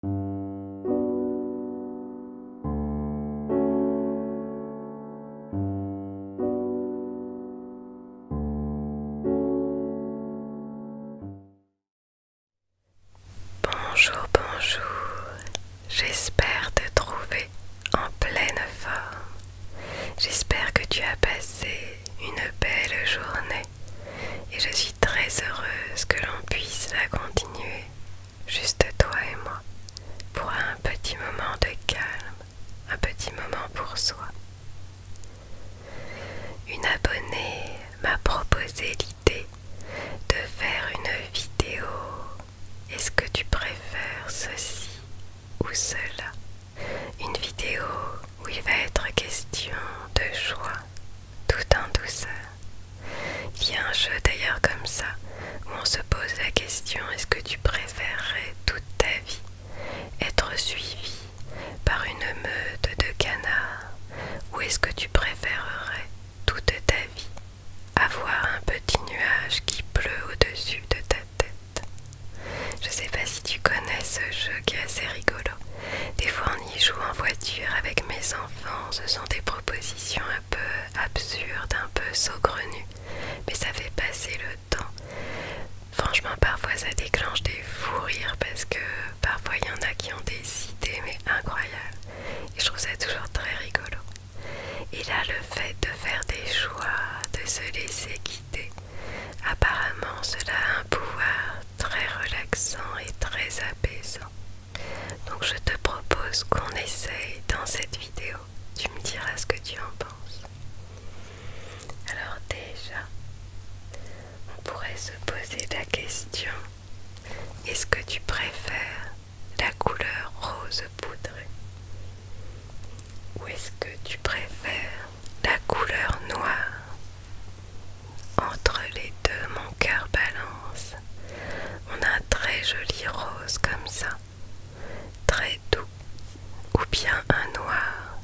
Bonjour, bonjour, j'espère te trouver en pleine forme. J'espère que tu as passé une belle journée et je très heureuse que l'on puisse la continuer, juste toi et moi, pour un petit moment de calme, un petit moment pour soi. Une abonnée m'a proposé l'idée de faire une vidéo. Est-ce que tu préfères ceci ou cela Une vidéo où il va être question de choix tout en douceur. Il y a un jeu d'ailleurs comme ça, où on se pose la question, est-ce que tu préférerais toute ta vie être suivi par une meute de canards, ou est-ce que tu préférerais toute ta vie avoir un petit nuage qui pleut au-dessus de ta tête. Je sais pas si tu connais ce jeu qui est assez rigolo. Des fois en joue en voiture avec mes enfants, ce sont des propositions un peu absurdes, un peu saugrenues, mais ça fait passer le temps. Franchement, parfois ça déclenche des fous rires parce que parfois il y en a qui ont des idées, mais incroyables. Et je trouve ça toujours très rigolo. Et là, le fait de faire des choix, de se laisser guider, apparemment cela a un pouvoir très relaxant et très apaisant. Donc je te propose qu'on essaye dans cette vidéo. Tu me diras ce que tu en penses. Alors déjà, on pourrait se poser la question, est-ce que tu préfères la couleur rose poudrée ou est-ce que tu préfères la couleur noire entre les deux, mon cœur balance. On a un très joli rose comme ça, très doux, ou bien un noir.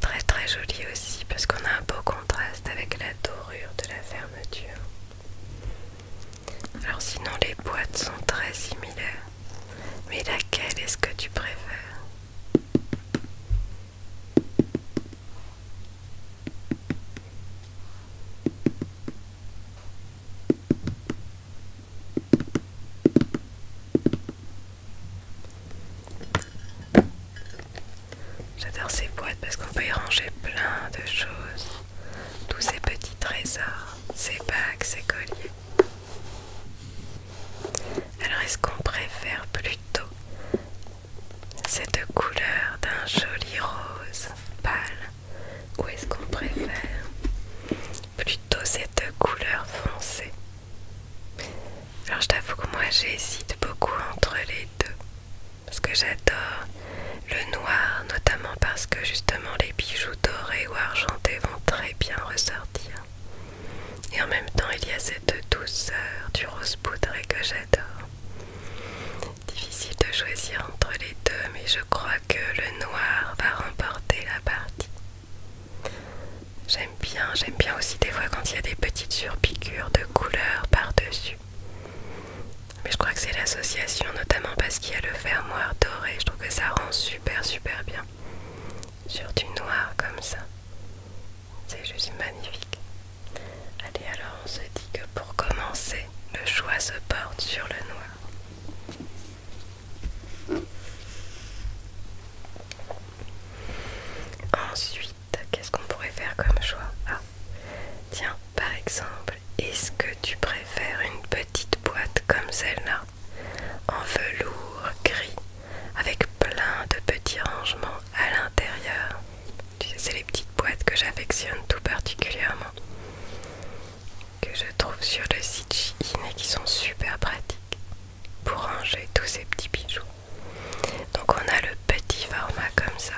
Très très joli aussi, parce qu'on a un beau contraste avec la dorure de la fermeture. Alors sinon les boîtes sont très similaires. Mais laquelle est-ce que tu préfères J'adore ces boîtes parce qu'on peut y ranger plein de choses. Tous ces petits trésors, ces bagues, ces colliers. Alors est-ce qu'on préfère plutôt cette couleur d'un joli rose pâle. Ou est-ce qu'on préfère Plutôt cette couleur foncée. Alors je t'avoue que moi j'hésite beaucoup entre les deux. Parce que j'adore le noir, notamment parce que justement les bijoux dorés ou argentés vont très bien ressortir. Et en même temps il y a cette douceur du rose poudré que j'adore. Difficile de choisir entre les deux, mais je crois que le noir va remporter la partie. J'aime bien, j'aime bien aussi des fois quand il y a des petites surpiqûres de couleur par-dessus. Mais je crois que c'est l'association, notamment parce qu'il y a le fermoir doré. Je trouve que ça rend super, super bien. Sur du noir comme ça. C'est juste magnifique. Allez, alors on se dit que pour commencer, le choix se porte sur le noir. Ensuite, qu'est-ce qu'on pourrait faire comme choix ah, tiens, par exemple, est-ce que tu préfères une petite boîte comme celle-là, en velours gris, avec plein de petits rangements à l'intérieur c'est les petites boîtes que j'affectionne tout particulièrement, que je trouve sur le site Shein et qui sont super pratiques pour ranger tous ces petits bijoux. Donc on a le petit format comme ça.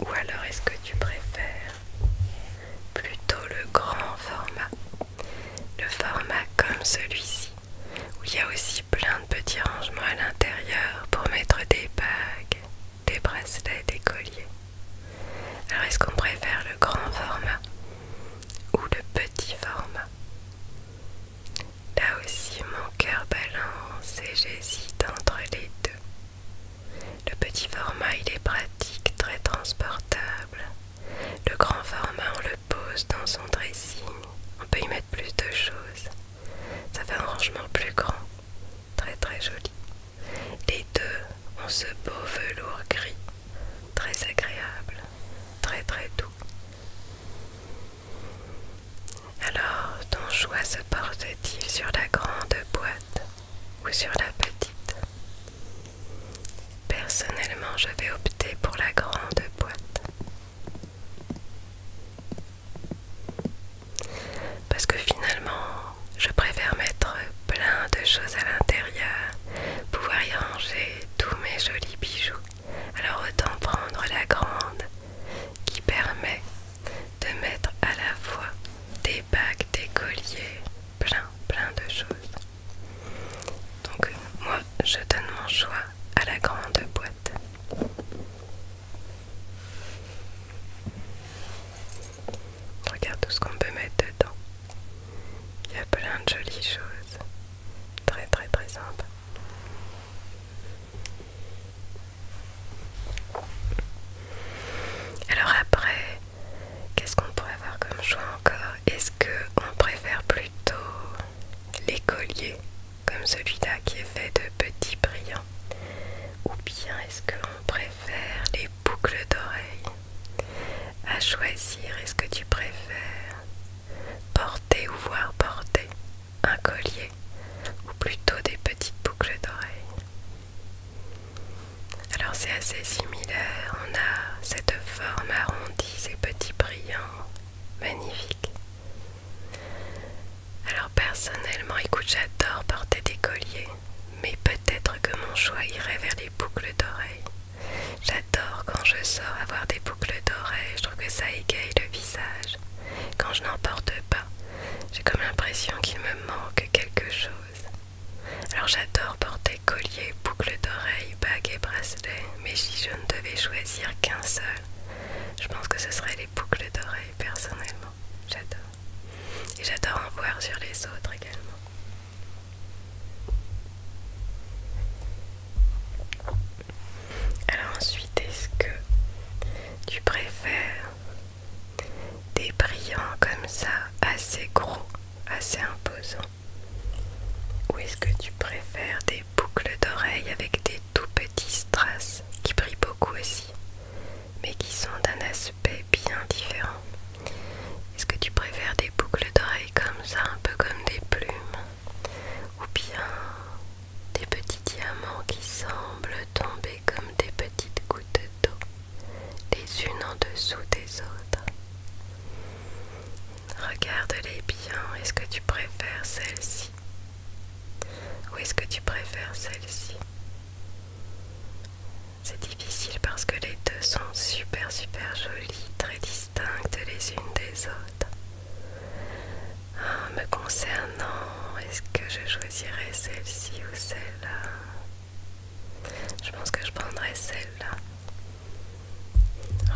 Ou alors est-ce que tu préfères plutôt le grand format, le format comme celui-ci, où il y a aussi plein de petits rangements à l'intérieur pour mettre des bagues, des bracelets, des colliers. Alors est-ce qu'on préfère le grand format ou le petit format Là aussi mon cœur balance et j'hésite entre les deux. Le petit format il est pratique, très transportable. Le grand format on le pose dans son dressing. On peut y mettre plus de choses. Ça fait un rangement plus grand, très très joli. Les deux ont ce beau velours gris, très agréable, très très doux. Alors, ton choix se porte-t-il sur la grande boîte ou sur la petite Personnellement, je vais opter pour la grande boîte. Parce que finalement, je préfère mettre plein de choses à l'intérieur, pouvoir y ranger tous mes jolis bijoux. Alors autant prendre la grande qui permet de mettre à la fois des bagues, des colliers, plein plein de choses. Donc moi je donne mon choix à la grande boîte. Regarde tout ce qu'on peut mettre dedans. Il y a plein de jolies choses. Très très très sympa. Alors après, qu'est-ce qu'on pourrait avoir comme choix encore Est-ce qu'on préfère plutôt les colliers comme celui-là qui est fait de petits brillants Ou bien est-ce l'on préfère les boucles d'oreilles À choisir, est-ce que tu préfères porter ou voir porter un collier ou plutôt des petites boucles d'oreilles Alors c'est assez similaire, on a cette forme arrondie, ces petits brillants magnifiques alors personnellement, écoute, j'adore porter des colliers, mais peut-être que mon choix irait vers les boucles d'oreilles. J'adore quand je sors avoir des boucles d'oreilles, je trouve que ça égaye le visage. Quand je n'en porte pas, j'ai comme l'impression qu'il me manque quelque chose. Alors j'adore porter colliers, boucles d'oreilles, bagues et bracelets, mais si je ne devais choisir qu'un seul, je pense que ce serait les boucles d'oreilles personnellement. J'adore. Et j'adore en voir sur les autres également. Alors ensuite, est-ce que tu préfères des brillants comme ça, assez gros, assez imposants Ou est-ce que tu préfères des boucles d'oreilles avec des tout petits strass qui brillent beaucoup aussi, mais qui sont d'un aspect bien différent. Est-ce que tu préfères des boucles d'oreilles comme ça, un peu comme des plumes Ou bien des petits diamants qui semblent tomber comme des petites gouttes d'eau, les unes en dessous des autres Regarde-les bien, est-ce que tu préfères celle-ci ou est-ce que tu préfères celle-ci C'est difficile parce que les deux sont super super jolies, très distinctes les unes des autres. Ah, me concernant, est-ce que je choisirais celle-ci ou celle-là je pense que je prendrais celle-là.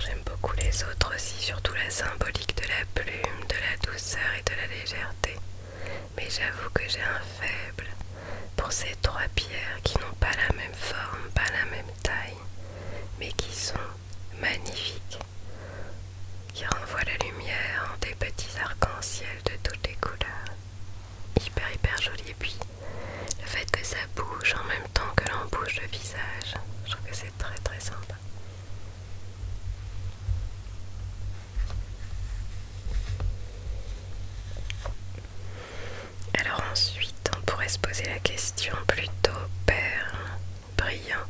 J'aime beaucoup les autres aussi, surtout la symbolique de la plume, de la douceur, de la légèreté, mais j'avoue que j'ai un faible pour ces trois pierres qui n'ont pas la même forme, pas la même taille, mais qui sont magnifiques, qui renvoient la lumière en des petits arcs-en-ciel de toutes les couleurs. Hyper hyper joli et puis le fait que ça bouge en même temps que bouge le visage, je trouve que c'est très très sympa. Alors ensuite, on pourrait se poser la question plutôt perle, brillant,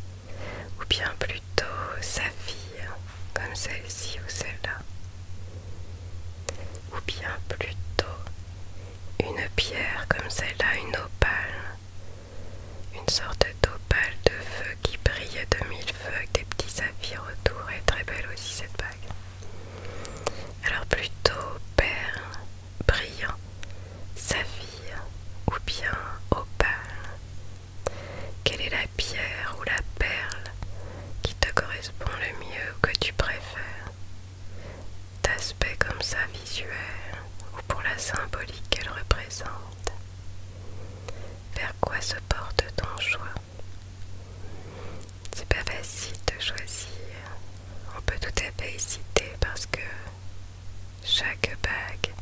ou bien plutôt fille comme celle-ci ou celle-là, ou bien plutôt une pierre comme celle-là, une opale, une sorte d'opale de feu qui brille de mille feux avec des petits saphirs autour. Est très belle aussi cette bague. Alors plutôt perle, brillant, saphir ou bien opale. Quelle est la pierre ou la perle qui te correspond le mieux ou que tu préfères D'aspect comme ça visuel ou pour la symbolique qu'elle représente vers quoi se porte ton choix C'est pas facile de choisir. On peut tout à fait citer parce que chaque bague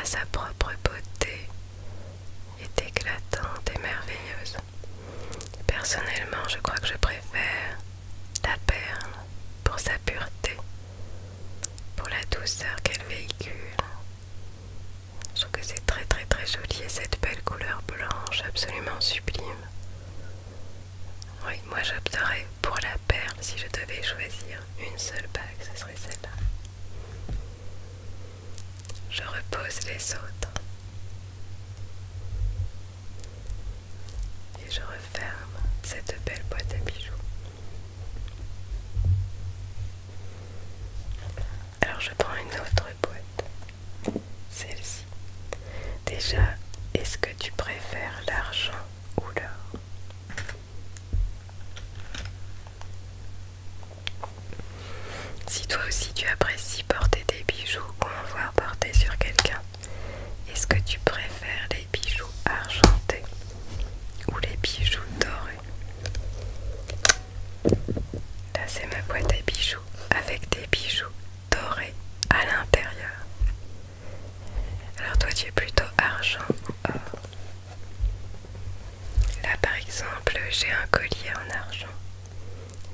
a sa propre beauté, est éclatante et merveilleuse. Personnellement, je crois que je préfère la perle pour sa pureté, pour la douceur qu'elle véhicule je trouve que c'est très très très joli et cette belle couleur blanche absolument sublime. Oui, moi j'opterais pour la perle si je devais choisir une seule bague, ce serait celle-là. Je repose les autres. Et je referme cette belle boîte à bijoux. Alors je prends une autre boîte, celle-ci. Déjà, est-ce que tu préfères l'argent ou l'or Si toi aussi tu apprécies porter des bijoux ou en voir porter sur quelqu'un, est-ce que tu préfères les bijoux argentés ou les bijoux dorés Là, c'est ma boîte à bijoux avec des bijoux dorés à l'intérieur. Alors, toi, tu es plutôt argent ou Là, par exemple, j'ai un collier en argent.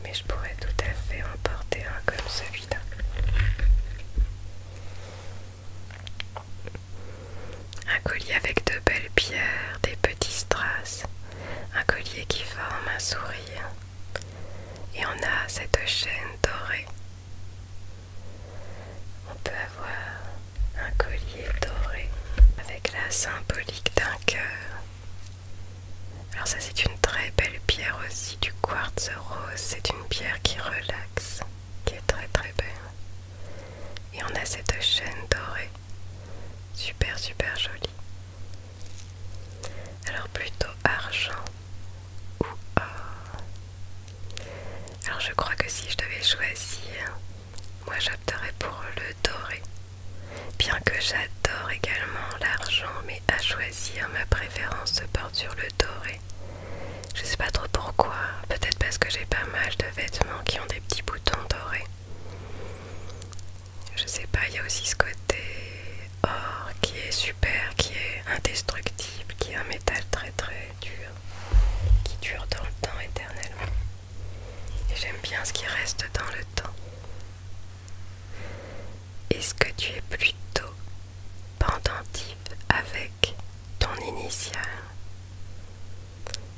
Mais je pourrais tout à fait en porter un comme celui-là. Un collier avec de belles pierres, des petits strass, un collier qui forme un sourire. Et on a cette chaîne dorée. On peut avoir un collier doré avec la symbolique d'un cœur. Alors ça c'est une très belle pierre aussi, du quartz rose. C'est une pierre qui relaxe, qui est très très belle. Et on a cette chaîne dorée. Super, super jolie. Alors plutôt argent ou or. Alors je crois que si je devais choisir, moi j'opterais pour le doré. Bien que j'adore également l'argent, mais à choisir, ma préférence se porte sur le doré. Je sais pas trop pourquoi, peut-être parce que j'ai pas mal de vêtements qui ont des petits boutons dorés. Je sais pas, il y a aussi ce côté or qui est super, qui est indestructible, qui est un métal très très dur, qui dure dans le temps éternellement. j'aime bien ce qui reste dans le temps. Est-ce que tu es plutôt pendentif avec ton initiale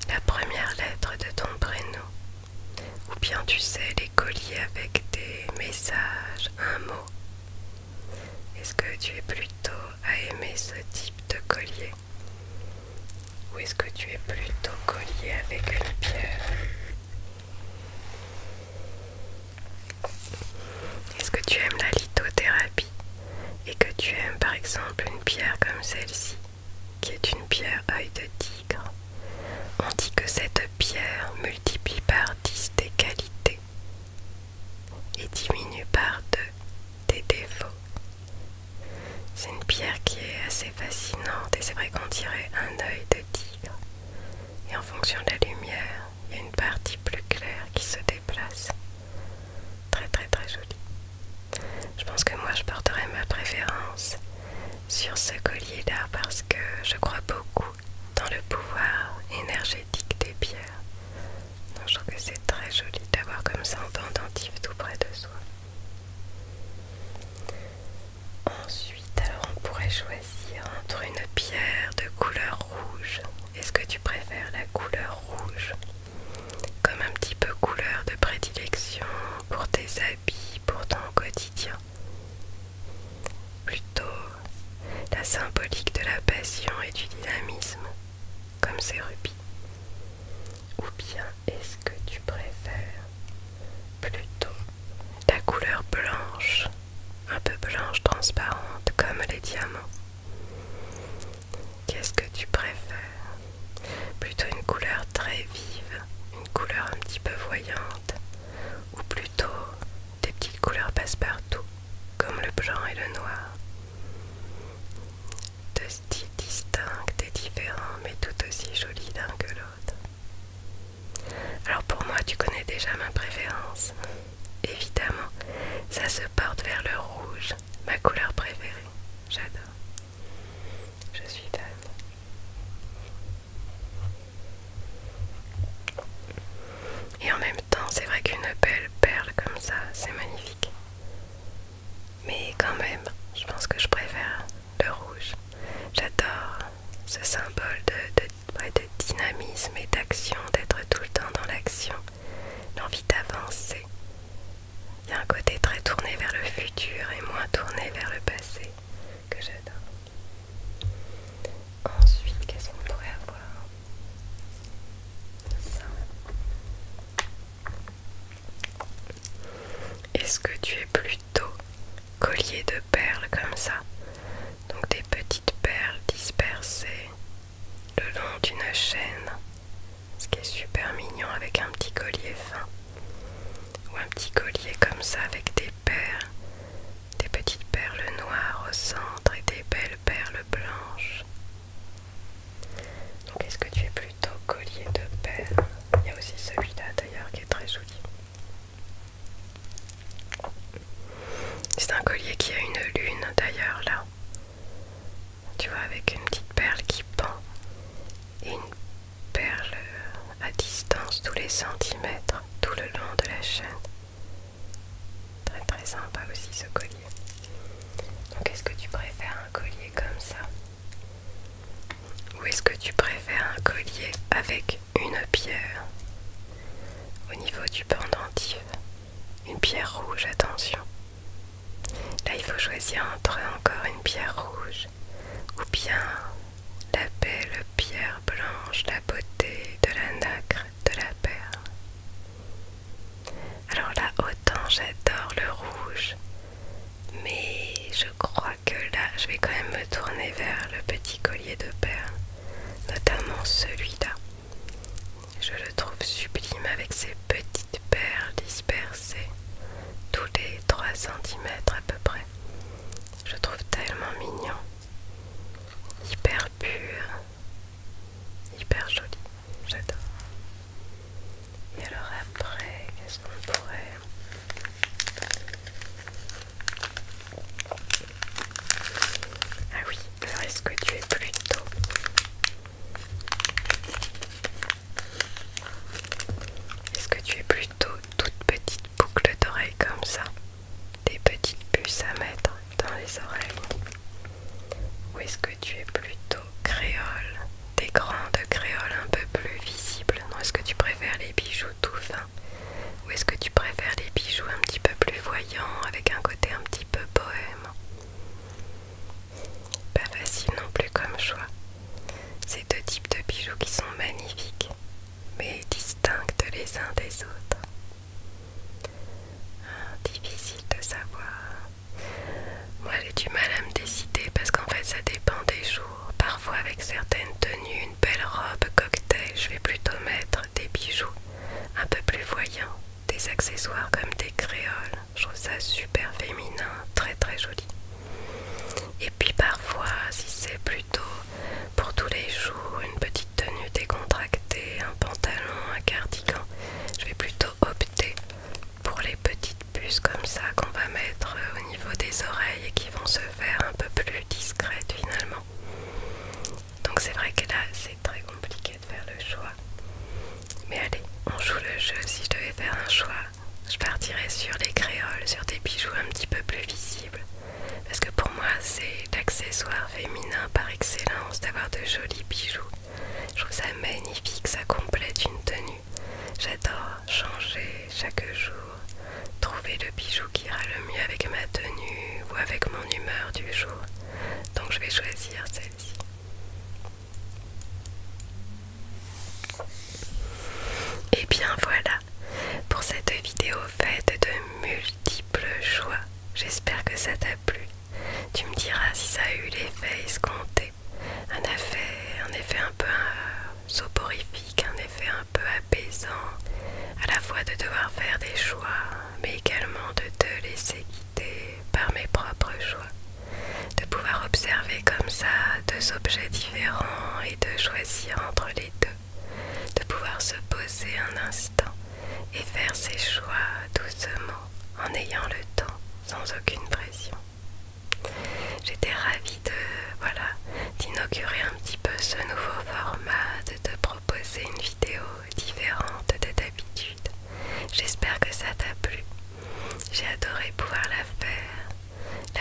la première lettre de ton prénom. Ou bien tu sais les colliers avec des messages, un mot. Est-ce que tu es plutôt à aimer ce type de collier Ou est-ce que tu es plutôt collier avec une pierre Est-ce que tu aimes la lithothérapie et que tu aimes par exemple une pierre comme celle-ci, qui est une pierre œil de tigre, on dit que cette pierre multiplie par 10 des qualités et diminue par 2 des défauts. C'est une pierre qui est assez fascinante et c'est vrai qu'on dirait un œil de tigre. Et en fonction de la lumière, il y a une partie plus claire qui se déplace. Très très très jolie. Je pense que moi je porterai ma préférence sur ce collier-là parce que je crois beaucoup dans le pouvoir énergétique des pierres. Donc je trouve que c'est très joli d'avoir comme ça un pendentif tout près de soi. Ensuite, alors on pourrait choisir entre une pierre de couleur rouge. Est-ce que tu préfères la couleur rouge comme un petit peu couleur de prédilection pour tes habits, pour ton quotidien. Plutôt la symbolique de la passion et du dynamisme, comme ces rubis. Ou bien est-ce que tu préfères plutôt la couleur blanche, un peu blanche transparente comme les diamants Qu'est-ce que tu préfères Plutôt une couleur très vive, une couleur un petit peu voyante, ou plutôt des petites couleurs passe-partout, comme le blanc et le noir Deux styles distincts et différents, mais tout aussi jolis l'un que l'autre. Alors pour moi, tu connais déjà ma préférence. Évidemment, ça se porte vers le rouge, ma couleur préférée. J'adore. Je suis fan. Et en même temps, c'est vrai qu'une belle perle comme ça, c'est magnifique. Mais quand même, je pense que je préfère le rouge. J'adore ce symbole de, de dynamisme et d'action, d'être tout le temps dans l'action, l'envie d'avancer, il y a un côté très tourné vers le futur et moins tourné vers le passé que j'adore. Ensuite, qu'est-ce qu'on pourrait avoir Est-ce que tu es plutôt collier de perles comme ça Donc des petites perles dispersées le long d'une chaîne, ce qui est super mignon avec un petit collier fin ou un petit collier comme ça avec des perles, des petites perles noires au centre et des belles perles blanches. Donc est-ce que tu es plutôt collier de perles Il y a aussi celui-là d'ailleurs qui est très joli. C'est un collier qui a une lune d'ailleurs là tu vois avec une petite perle qui pend et une perle à distance tous les centimètres tout le long de la chaîne très très sympa aussi ce collier donc est-ce que tu préfères un collier comme ça ou est-ce que tu préfères un collier avec une pierre au niveau du pendentif une pierre rouge attention Là, il faut choisir entre encore une pierre rouge ou bien la belle pierre blanche, la beauté de la nacre de la perle. Alors là, autant j'adore le rouge, mais je crois que là, je vais quand même me tourner vers le petit collier de perles, notamment celui-là. Je le trouve sublime avec ses petites perles dispersées tous les 3 cm à peu près. Je trouve tellement mignon, hyper pur, hyper joli. J'adore. Et alors après, qu'est-ce qu'on pourrait... Ah oui, alors est-ce que tu es plutôt est-ce que tu es plutôt toute petite boucle d'oreilles comme ça Des petites puces à mettre dans les oreilles Ou est-ce que tu es plutôt créole Des grandes créoles un peu plus visibles Non, est-ce que tu préfères les bijoux tout fins Ou est-ce que tu préfères les bijoux un petit peu plus voyants avec un côté un petit peu bohème pas facile non plus comme choix. Ces deux types de bijoux qui sont magnifiques, mais distincts les uns des autres. Ah, difficile de savoir. Moi j'ai du mal à me décider parce qu'en fait ça dépend des jours. Parfois avec certaines tenues, une belle robe, cocktail, je vais plutôt mettre des bijoux un peu plus voyants, des accessoires comme des créoles, je trouve ça super féminin, très très joli. Et puis parfois, si c'est plutôt pour tous les jours, une petite tenue décontractée, un pantalon, un cardigan, je vais plutôt opter pour les petites puces comme ça qu'on va mettre euh, au niveau des oreilles et qui vont se faire un peu plus discrètes finalement. Donc c'est vrai que là, c'est très compliqué de faire le choix. Mais allez, on joue le jeu. Si je devais faire un choix, je partirais sur les créoles, sur des bijoux un petit peu plus visibles. Parce que pour moi, c'est l'accessoire féminin par excellence d'avoir de jolis bijoux. Je trouve ça magnifique, ça complète une tenue. J'adore changer chaque jour, trouver le bijou qui ira le mieux avec ma tenue ou avec mon humeur du jour. Donc je vais choisir celle-ci. Et eh bien voilà pour cette vidéo faite de multiples choix. J'espère que ça t'a plu. Tu me diras si ça a eu l'effet escompté. Un effet, un effet un peu euh, soporifique, un effet un peu apaisant, à la fois de devoir faire des choix, mais également de te laisser par mes propres choix, de pouvoir observer comme ça deux objets différents et de choisir entre les deux, de pouvoir se poser un instant et faire ses choix doucement en ayant le temps sans aucune pression. J'étais ravie de voilà d'inaugurer un petit peu ce nouveau format, de te proposer une vidéo différente de d'habitude. J'espère que ça t'a plu. J'ai adoré pouvoir la faire,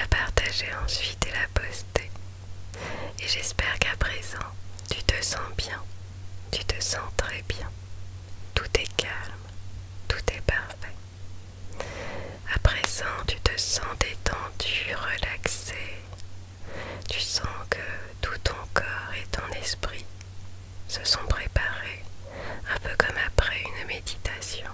la partager ensuite et la poster. Et j'espère qu'à présent, tu te sens bien, tu te sens très bien. Tout est calme, tout est parfait. À présent, tu te sens détendu, relaxé. Tu sens que tout ton corps et ton esprit se sont préparés, un peu comme après une méditation.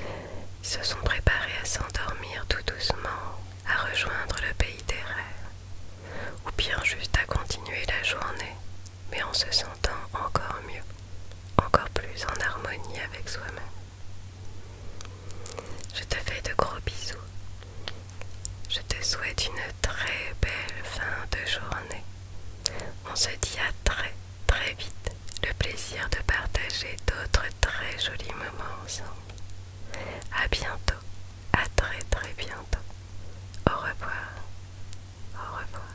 Ils se sont préparés à s'endormir tout doucement, à rejoindre le pays des rêves, ou bien juste à continuer la journée, mais en se sentant encore mieux, encore plus en harmonie avec soi-même. Je te fais de gros bisous. Je te souhaite une très belle fin de journée on se dit à très très vite. Le plaisir de partager d'autres très jolis moments ensemble. À bientôt. À très très bientôt. Au revoir. Au revoir.